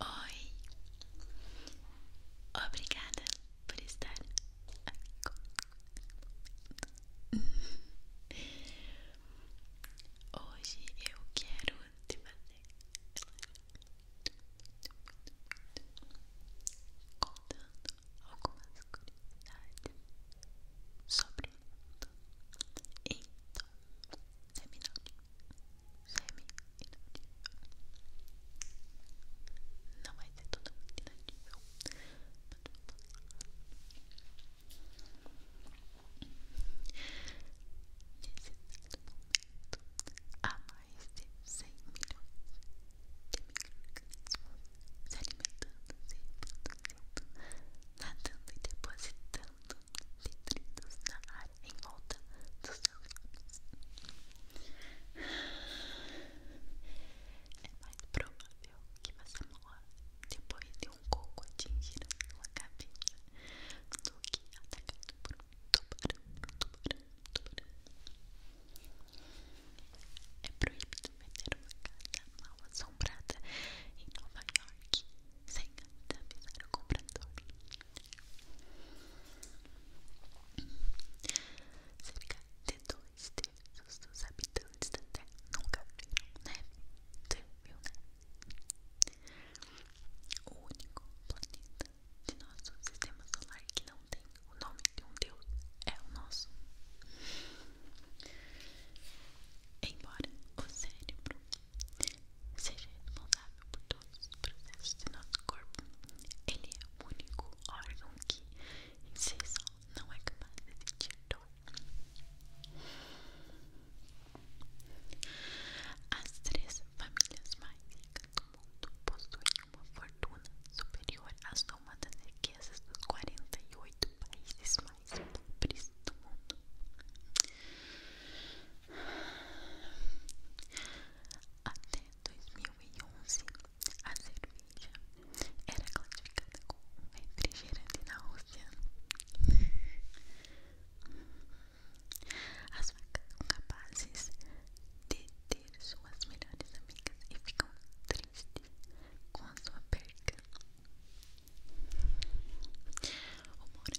Oi, obrigada por estar aqui comigo. Hoje eu quero te fazer contando algumas curiosidades sobre o mundo em dois semi-inaudível. Não vai ser totalmente inaudível, Nesse exato momento, há mais de 100 milhões de micro-organismos se alimentando, se reproduzindo, nadando e depositando detritos na área em volta dos seus lábios. É mais provável que você morra depois de um coco atingir a sua cabeça do que atacado por um tubarão, tubarão, tubarão. É proibido vender uma casa mal assombrada em Nova York sem avisar o comprador. Cerca de dois terços dos habitantes da Terra nunca viram neve. neve? O único planeta de nosso sistema solar que não tem o nome de um deus é o nosso. Embora o cérebro seja responsável por todos os processos de nosso corpo. Ele é o único órgão que, em si só, não é capaz de sentir dor. As três famílias mais ricas do mundo possuem uma fortuna superior à soma das riquezas dos 48 países mais pobres do mundo. Até 2011, a cerveja era classificada como um refrigerante na Rússia. As vacas são capazes de ter suas melhores amigas e ficam tristes com a sua perca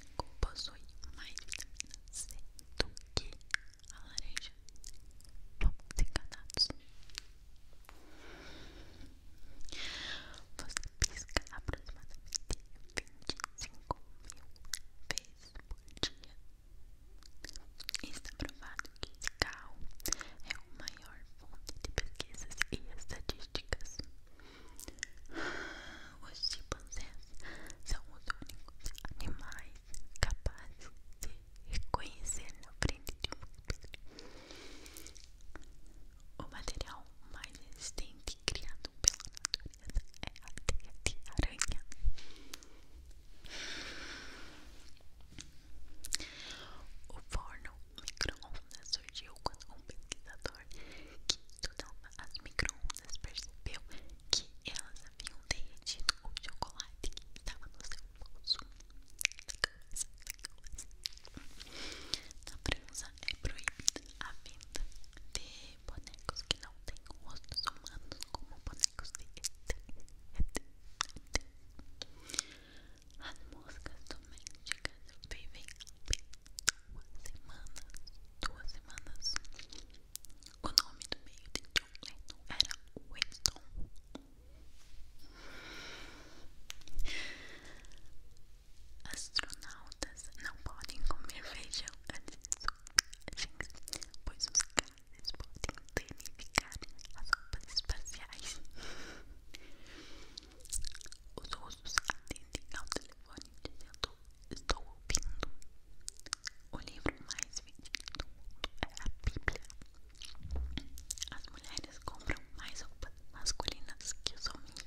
mango possui mais vitamina C do que a laranja. Vamos Você pisca aproximadamente 25 mil vezes por dia. Está é provado que o cigarro é o maior fonte de pesquisas e estatísticas. Os chimpanzés são os únicos animais capazes de reconhecer na frente de um espelho o material mais resistente criado pela natureza é a teia de aranha. O forno micro-ondas surgiu quando um pesquisador computador que estudava as micro-ondas percebeu que elas haviam derretido o chocolate que estava no seu bolso. Na França é proibida a venda de bonecos que não têm rostos humanos, como bonecos de ET. As moscas domésticas vivem uma semana, duas semanas. O nome do meio de John Lennon era Winston. Astronautas não podem comer feijão antes de subir, pois os gases podem danificar as roupas espaciais. Os russos atendem ao telefone de dizendo estou ouvindo o livro mais vendido do mundo é a Bíblia. As mulheres compram mais roupas masculinas que os homens.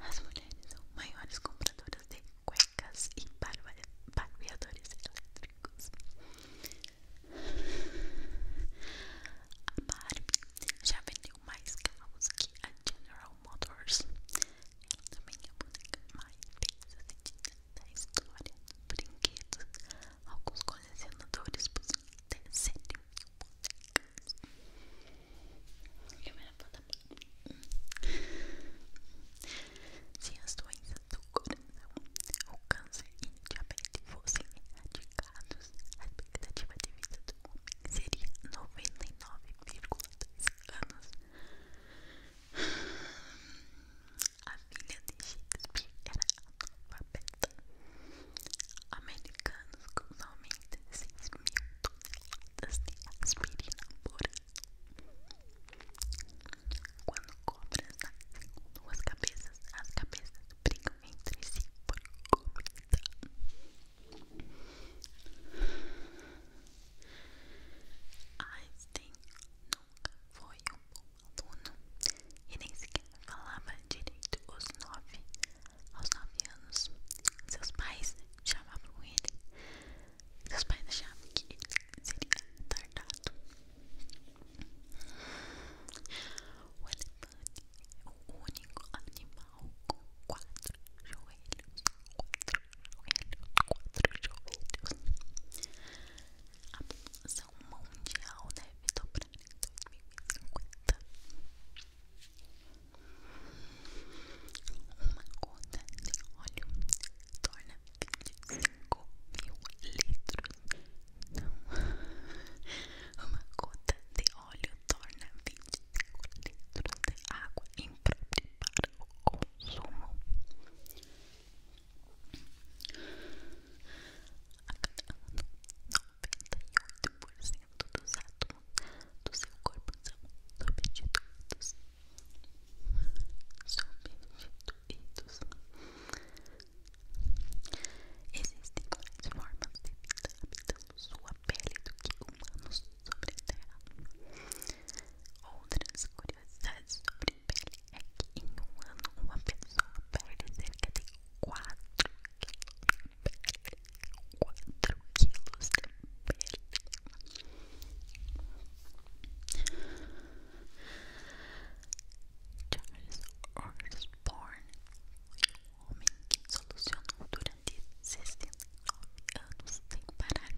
As mulheres são maiores compradoras de cuecas e barbeadores elétricos. A Barbie já vendeu mais carros que a General General Motors. Ela também é a boneca mais bem assim, da história brinquedos. Alguns colecionadores possuem até 7 mil bonecas. Primeira plataforma. Se as doenças do coração, o câncer e a diabetes fossem erradicados, a expectativa de vida do homem seria 99,2 anos. A filha de Shakespeare era analfabeta. Americanos consomem 6 mil toneladas de aspirina por ano. Quando cobras nascem duas cabeças, as cabeças brigam entre si por comida. Einstein nunca foi um bom aluno e nem sequer falava direito aos nove, aos nove anos. Seus pais chamavam ele. Seus pais achavam que ele seria retardado. O elefante é o único animal com quatro joelhos, quatro de outros. A população mundial deve dobrar em 2050. Uma gota de óleo torna 25 mil litros. Não. Uma gota de óleo torna 25 litros de água impropriável para o consumo. A cada ano, 98% dos átomos do seu corpo são substituídos. Substituídos. Existem mais formas de vida habitando sua pele do que humanos Outras curiosidades sobre pele é que em um ano uma pessoa perde cerca de 4 quilos de pele. Charles Osborne, um homem que solucionou durante de 69 anos sem parar.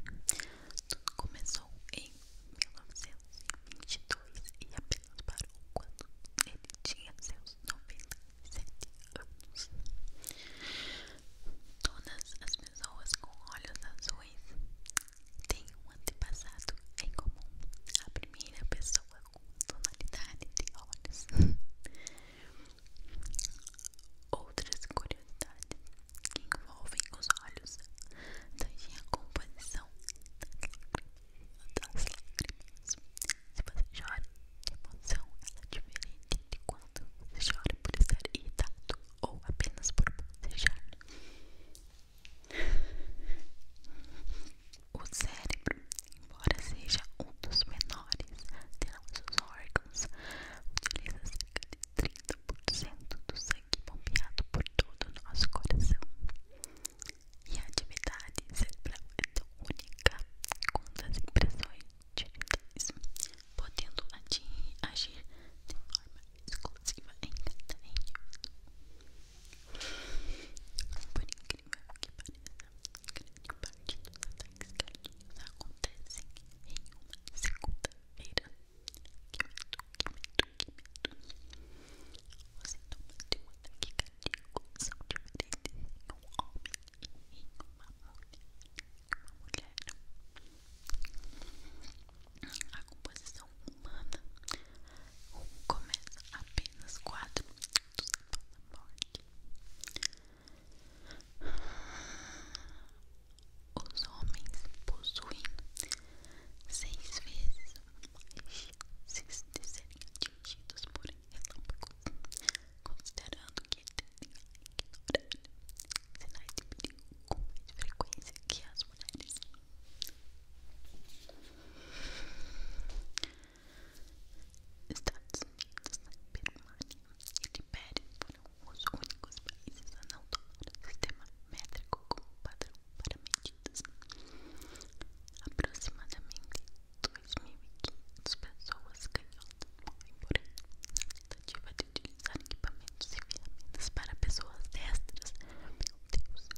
Tudo começou em 1922 e apenas parou quando ele tinha seus 97 anos. Todas as pessoas com olhos azuis têm um antepassado em comum. A primeira pessoa com tonalidade de olhos. Outras curiosidades que envolvem os olhos tangem a composição das lágrimas. Se você chora de emoção, ela é diferente de quando você chora por estar irritado ou apenas por bocejar. O cérebro, embora seja um dos menores, tem seus órgãos órgãos, utiliza cerca de 30% do sangue bombeado por todo o nosso coração. E a atividade cerebral é tão única quanto as impressões digitais, podendo atingir, agir de forma exclusiva em cada indivíduo. Por incrível que pareça, grande parte dos ataques cardíacos acontecem em uma segunda feira Que medo, que medo, que medo Os sintomas de uma taquicardia são diferentes em um homem e em uma mulher A composição humana começa apenas 4 minutos após a morte os homens possuem seis vezes mais chances de serem atingidos por relâmpagos, considerando que tendem a ignorar sinais de perigo com mais frequência que as mulheres. Estados Unidos, Birmania e Libéria os únicos países a não tomar o sistema métrico como padrão para medidas. Aproximadamente 2.500 pessoas canhotas o por ano na tentativa de utilizar equipamentos e ferramentas para pessoas destras. Meu Deus!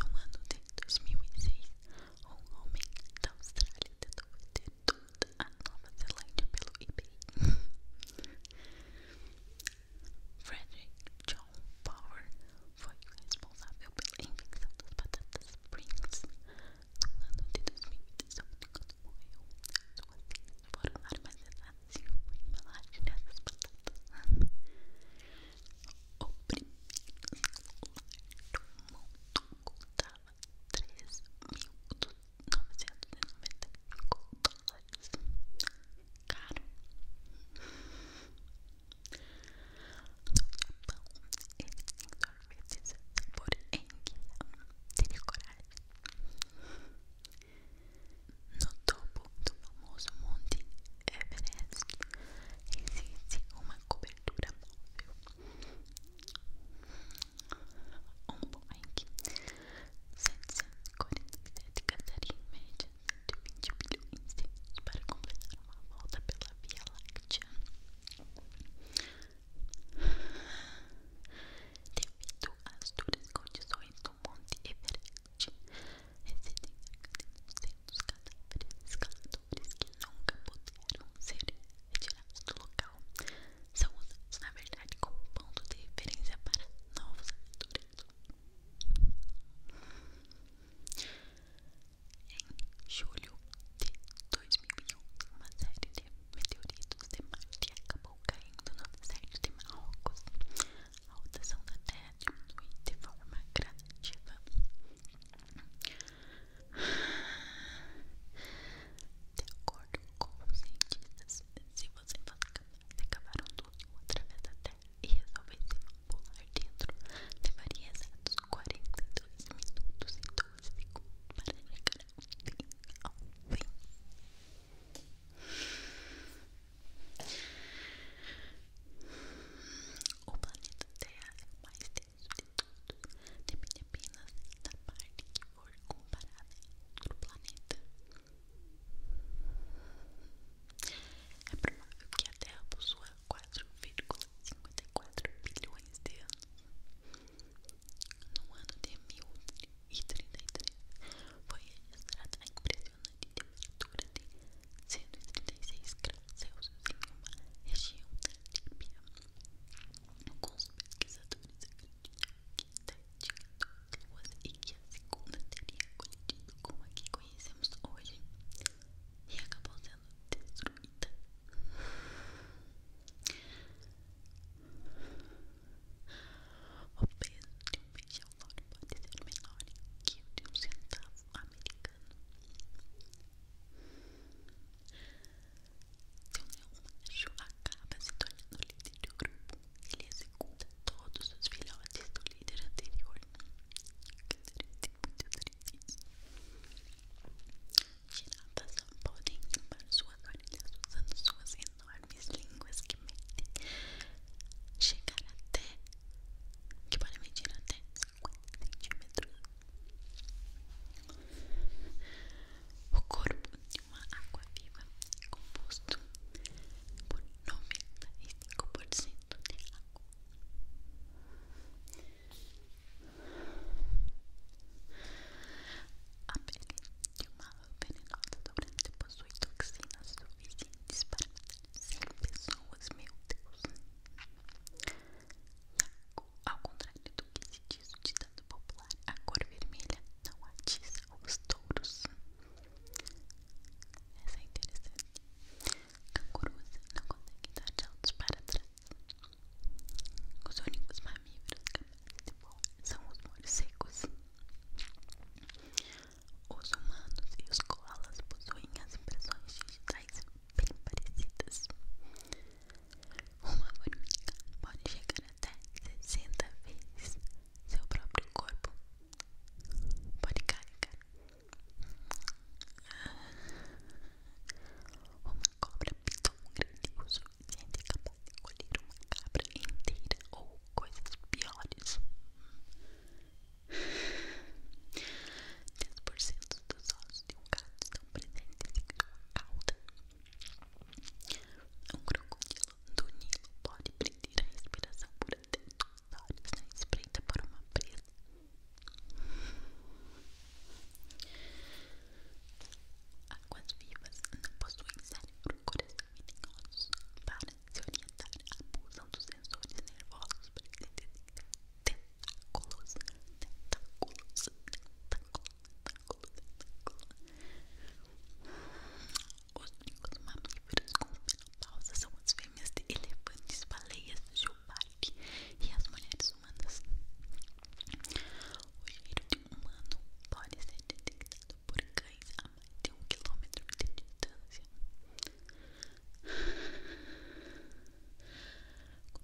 No ano de 2006, um homem da Austrália tentou bater toda a Nova Zelândia pelo eBay. Frederick John Power foi o responsável pela invenção das batatas Springs no ano de 2018, quando morreu. Suas cinzas foram armazenadas em uma embalagem dessas batatas. O primeiro celular do mundo contava 3.200 dólares. Caro. No Japão, ele tem sorvetes por enguia. Teria coragem. No topo do famoso Monte Everest existe uma cobertura móvel um Boeing 747 gastaria em média 120 bilhões de anos para completar uma volta pela Via Láctea. Devido às duras condições do Monte Everest, residem cerca de 200 cadáveres escaladores que nunca puderam ser retirados do local são usados, na verdade, como ponto de referência para novos aventureiros. Em julho de 2001, uma série de meteoritos de Marte acabou caindo no deserto de Marrocos. A rotação da Terra diminui de forma gradativa. De acordo com os cientistas, se você acabaram tudo através da Terra e resolvesse pular dentro, levaria exatos 42 minutos e 12 segundos para chegar ao fim. Ao fim. O planeta Terra é o mais denso de todos, depende apenas da parte que cor comparada do planeta. É provável que a Terra possua 4,54 bilhões de anos. No ano de 1033, foi registrada a impressionante temperatura de 136 graus Celsius em uma região da Líbia. Alguns pesquisadores acreditam que certinha duas luas e que a segunda teria colidido com a que conhecemos hoje e acabou sendo destruída. O peso de um feijão louro pode ser menor que o de um centavo americano. Seu Neomacho acaba se tornando líder do grupo. Ele executa todos os filhotes do líder anterior. Que triste, muito triste. Girafas só podem limpar suas orelhas usando suas enormes línguas que metem chegar até que podem medir até 50 centímetros. O corpo uma água viva composto por 95% de água. A pele de uma lua venenosa dourada possui toxinas suficientes para matar 100 pessoas, meu Deus! Ao contrário do o que se diz o ditado popular: a cor vermelha não atiça os touros. Essa é interessante. A Canguruza não consegue dar saltos para trás. Os únicos mamíferos capazes de voar são os morcegos. Os humanos e os koalas possuem as impressões digitais bem parecidas. Uma formiga pode chegar até 60 vezes seu próprio corpo. Pode carregar. Uma cobra tão grande o suficiente é capaz de colher uma cabra inteira ou coisas piores. 10% dos ossos de um gato estão presentes em sua cauda. Um crocodilo do Nilo pode prender a respiração por até dois horas na espreita para uma presa. Águas vivas não possuem cérebro, coração e nem Para se orientar, abusam dos sensores nervosos para detectar tentáculos, tentáculos, tentáculos. Os únicos mamíferos com menopausa são as fêmeas de elefantes, baleias, jubarte e as mulheres humanas. O giro de um humano pode ser detectado por cães a mais de um quilômetro de distância.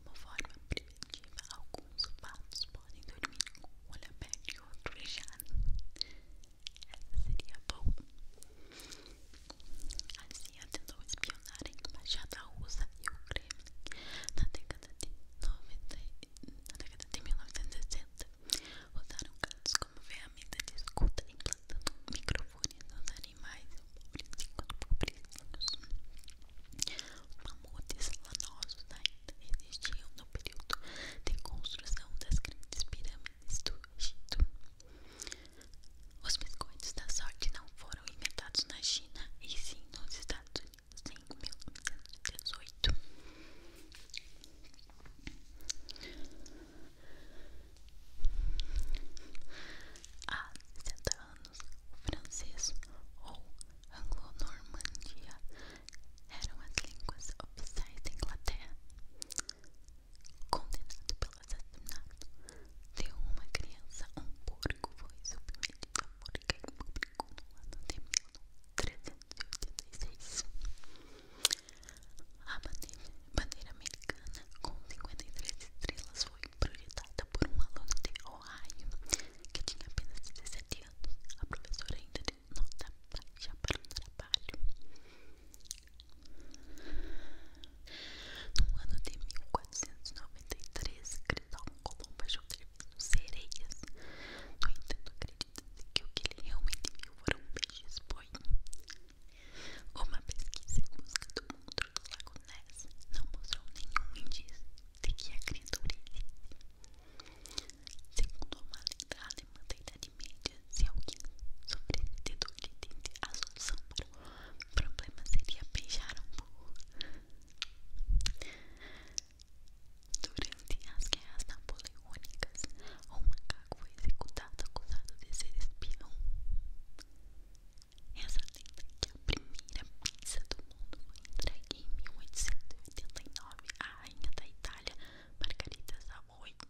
Como forma preventiva, alguns os patos podem dormir com um olho aberto e outro fechado. Essa seria boa. A CIA tentou espionar a embaixada e o Kremlin na década de, na década de 1960. Usaram gatos como ferramenta de escuta, implantando microfones nos animais pobres os pobrezinhos. Mamutes lanosos da existiam no período de construção das grandes pirâmides do Egito. Os biscoitos da sorte não foram inventados na China e sim nos Estados Unidos em 1918. Há 60 anos, o francês ou Anglo-Normandia eram as línguas oficiais da Inglaterra. Condenado pelo assassinato de uma criança, um porco foi submetido a um morte em público no ano de 1386. A bandeira, americana com 53 estrelas foi projetada por um aluno de Ohio que tinha apenas 17 anos. A professora ainda não já para o trabalho. No ano de 1493, Cristóvão Colombo achou servindo sereias. No entanto, acredita-se que o que ele realmente viu foram peixes boi. Uma pesquisa em busca do monstro do Lago não mostrou nenhum indício de que a criatura existe. Segundo uma lenda alemã da Idade Média, se alguém sobrevivesse de dente, a solução para o problema seria beijar um burro. Durante as guerras napoleônicas, um macaco foi executado acusado de ser espião. Essa lenda é que a primeira pizza do mundo foi entregue em 1889 à rainha da Itália, Margarida Savoy. Tá